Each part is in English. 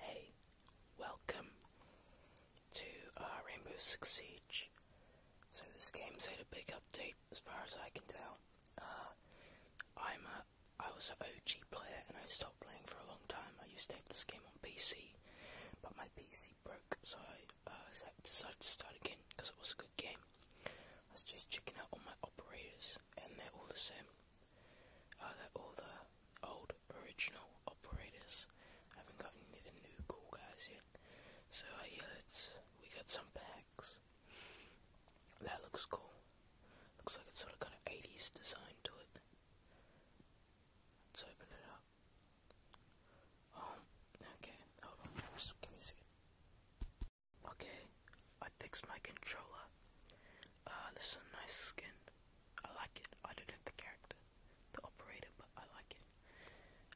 Hey, welcome to uh, Rainbow Six Siege. So this game's had a big update, as far as I can tell. Uh, I was an OG player, and I stopped playing for a long time. I used to have this game on PC, but my PC broke, so I uh, decided to start again because it was a good game. I was just checking out all my operators, and they're all the same uh, all the old original operators haven't gotten any of the new cool guys yet. So I uh, hear it's we got some packs. That looks cool. Looks like it's sort of got an 80s design to it. let open it up. Um, okay, hold on, just give me a second. Okay, I fixed my controller. this is a nice skin. I like it. I don't have the character, the operator, but I like it.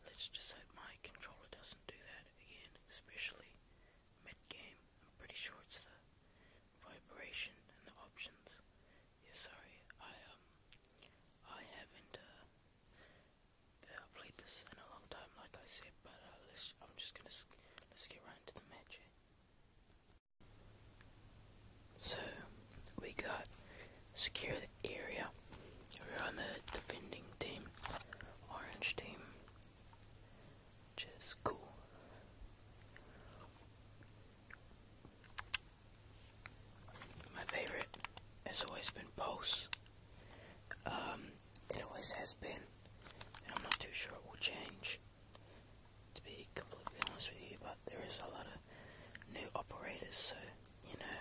Let's just hope my controller doesn't do that again, especially mid game. I'm pretty sure it's the vibration and the options. Yeah, sorry. I um, I haven't uh, uh played this in a long time, like I said. But uh, let's. I'm just gonna let's get right into the match. Eh? So we got secure the area. We're on the defending team, orange team, which is cool. My favorite has always been Pulse. Um, it always has been, I'm not too sure it will change to be completely honest with you, but there is a lot of new operators, so you know,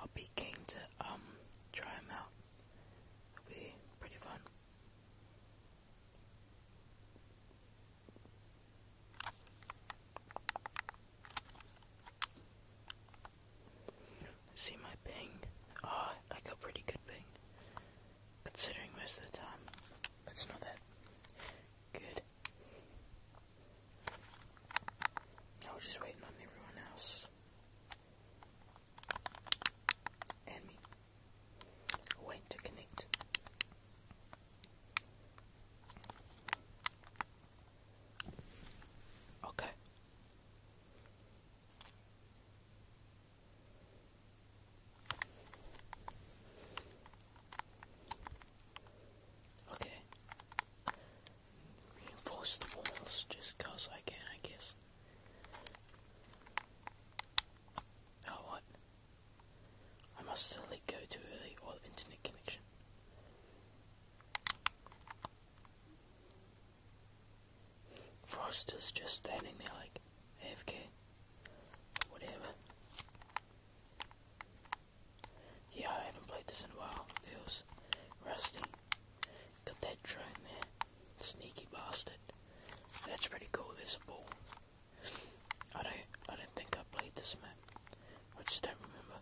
I'll be keen to um try them out. It'll be pretty fun. see my ping. Ah, I got pretty good ping. Considering most of the time it's not that good. I was just waiting on everyone else. And me. Wait to connect. Okay. Okay. Reinforce the walls just cause I can, I guess. Oh, what? I must still go too early or internet connection. Foster's just standing there like AFK. Whatever. Yeah, I haven't played this in a while. Feels rusty. Got that drone there. Sneaky bastard. That's pretty cool, there's a ball. I don't I don't think I played this map. I just don't remember.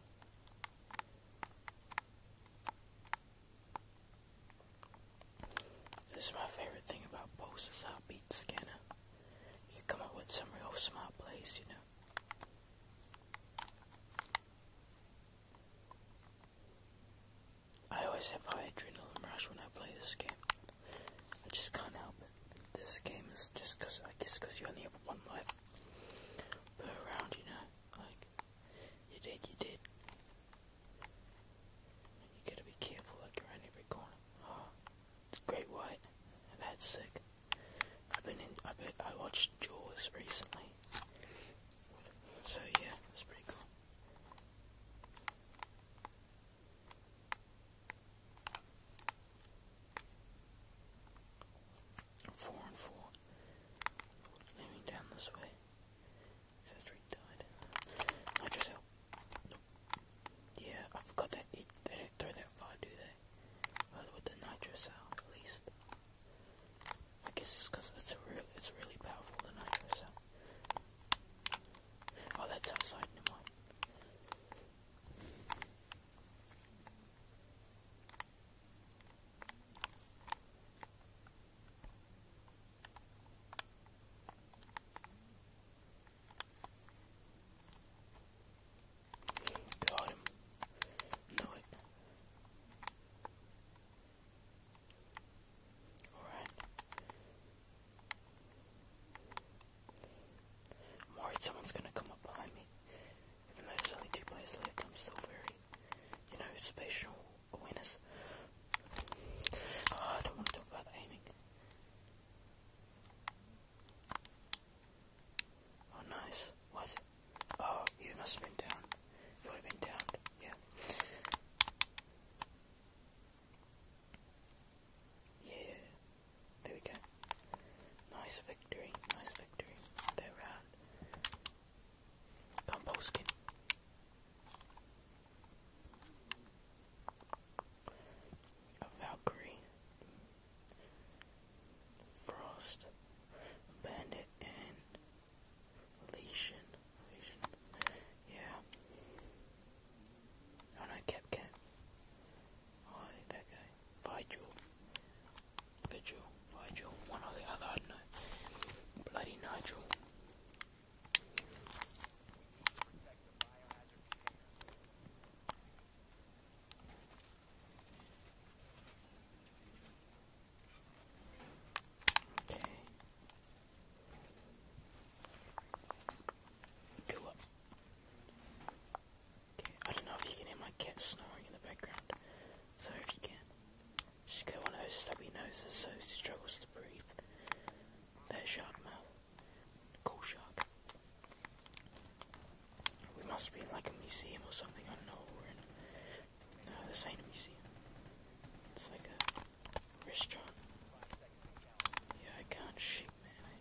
This is my favorite thing about posters, how beat scanner. You come up with some real smart plays, you know. I always have high adrenaline rush when I play this game. I just can't help it. This game is just because I guess because you only have one life per round, you know. Like you did, you did. You gotta be careful, like around every corner. Ah, it's great white. That's sick. I've been in. I bet I watched Jaws recently. So yeah, that's pretty cool. Four and four. Leaning down this way. Cedric died. I Yeah, I forgot that it, they didn't throw that far, do they? with the nitrous at least. I guess it's because it's a real, it's really powerful the nitrous Oh, that's outside. Never mind. Got Alright. someone's gonna come up behind me even though there's only two players left, I'm still very, you know, spatial awareness. Ah, I don't want to talk about aiming. Oh, nice. What? Oh, you must have been down. You would have been downed. Yeah. Yeah. There we go. Nice victory. Nice victory. That round. Composting. A Valkyrie. Frost. Bandit and Legion. Legion. Yeah. Oh no, Cap Cat. Oh, that guy. Viju, Viju, Viju, one or the other, I Bloody Nigel. Okay. Go up. Okay, I don't know if you can hear my cat snoring in the background. So if you can. She's got one of those stubby noses, so she struggles to breathe. That shark mouth. Cool shark. We must be in like a museum or something. I know we're in. No, this ain't a museum. It's like a restaurant. Yeah, I can't shoot, man.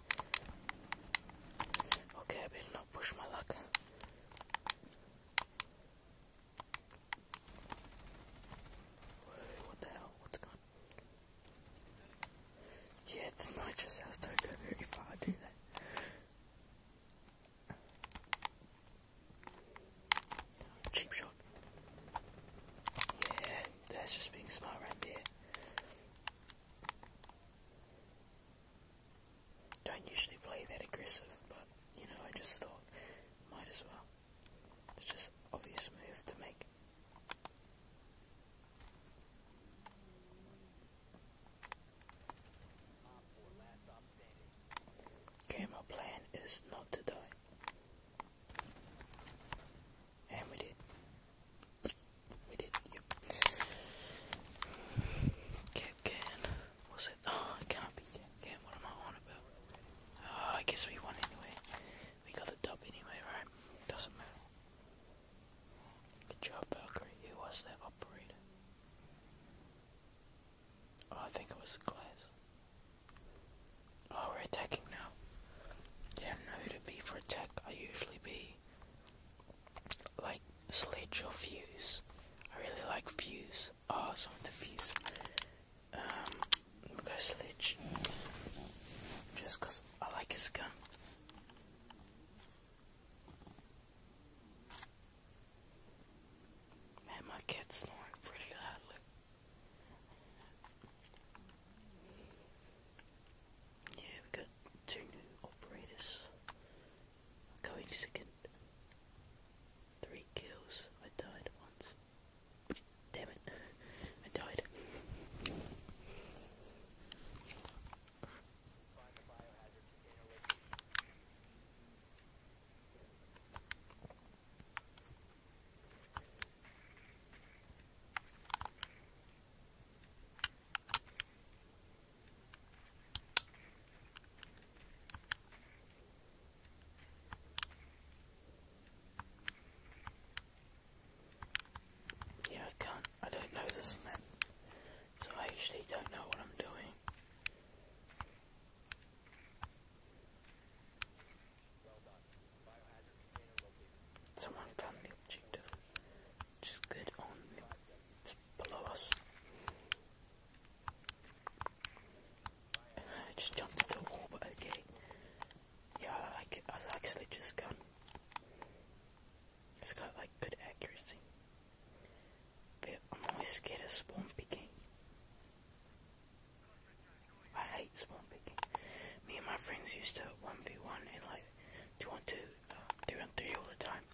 Okay, I better not push my luck. what the hell? What's going Yeah, the nitrous has to go very far, do that. Cheap shot. Yeah, that's just being smart right there. Don't usually play that aggressive, but you know, I just thought, might as well. It's just obvious move to make. Okay, plan is not to die. And we Was it? Oh, it can't be Cap What am I on about? Oh, I guess we won anyway. We got the dub anyway, right? Doesn't matter. Good job, Valkyrie. Who was that operator? Oh, I think it was Glass. Oh, we're attacking now. Yeah, I know who to be for attack. I usually be really like slit your views. I really like fuse. Ah, oh, some of the views. Um, we go Sledge. Just cause I like his gun. Man, my cat's snoring pretty loudly. Yeah, we got two new operators. Going second. Three kills. I died once. Damn it. I died. Yeah, I can't. I don't know this map, so I actually don't know what I'm doing. Someone found the objective, which good on them. It's below us. just jumped into the wall, but okay. Yeah, I like I like Sledge's gun. It's got like good accuracy. But I'm always scared of spawn picking. I hate spawn picking. Me and my friends used to 1v1 and like 2 on uh, 2, 3 on 3 all the time.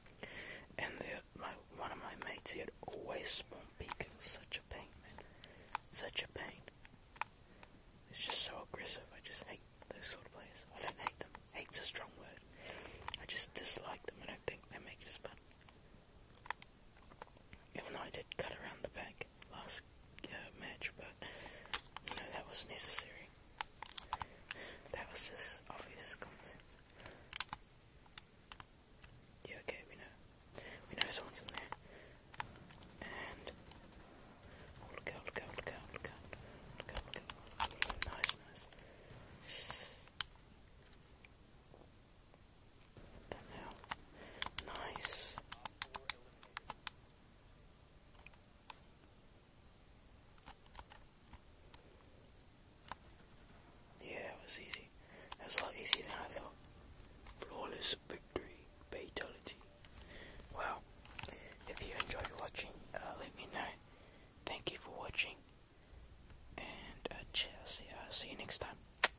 And the, my, one of my mates, he had always spawn peek. It was such a pain, man. Such a pain. It's just so aggressive. I just hate those sort of players. I don't hate them. Hate's a strong word. I just dislike them. I don't think they make it fun. Even though I did cut around the back last uh, match, but you know that was necessary. That was just obvious common sense. Yeah, okay, we know. We know someone's in there. And oh, look out, look out, look out, look out, look out, look out. Nice, nice. What the Nice. Yeah, it was easy. That a lot easier than I thought. Flawless victory, fatality. Wow. If you enjoyed watching, uh, let me know. Thank you for watching. And uh, see you next time.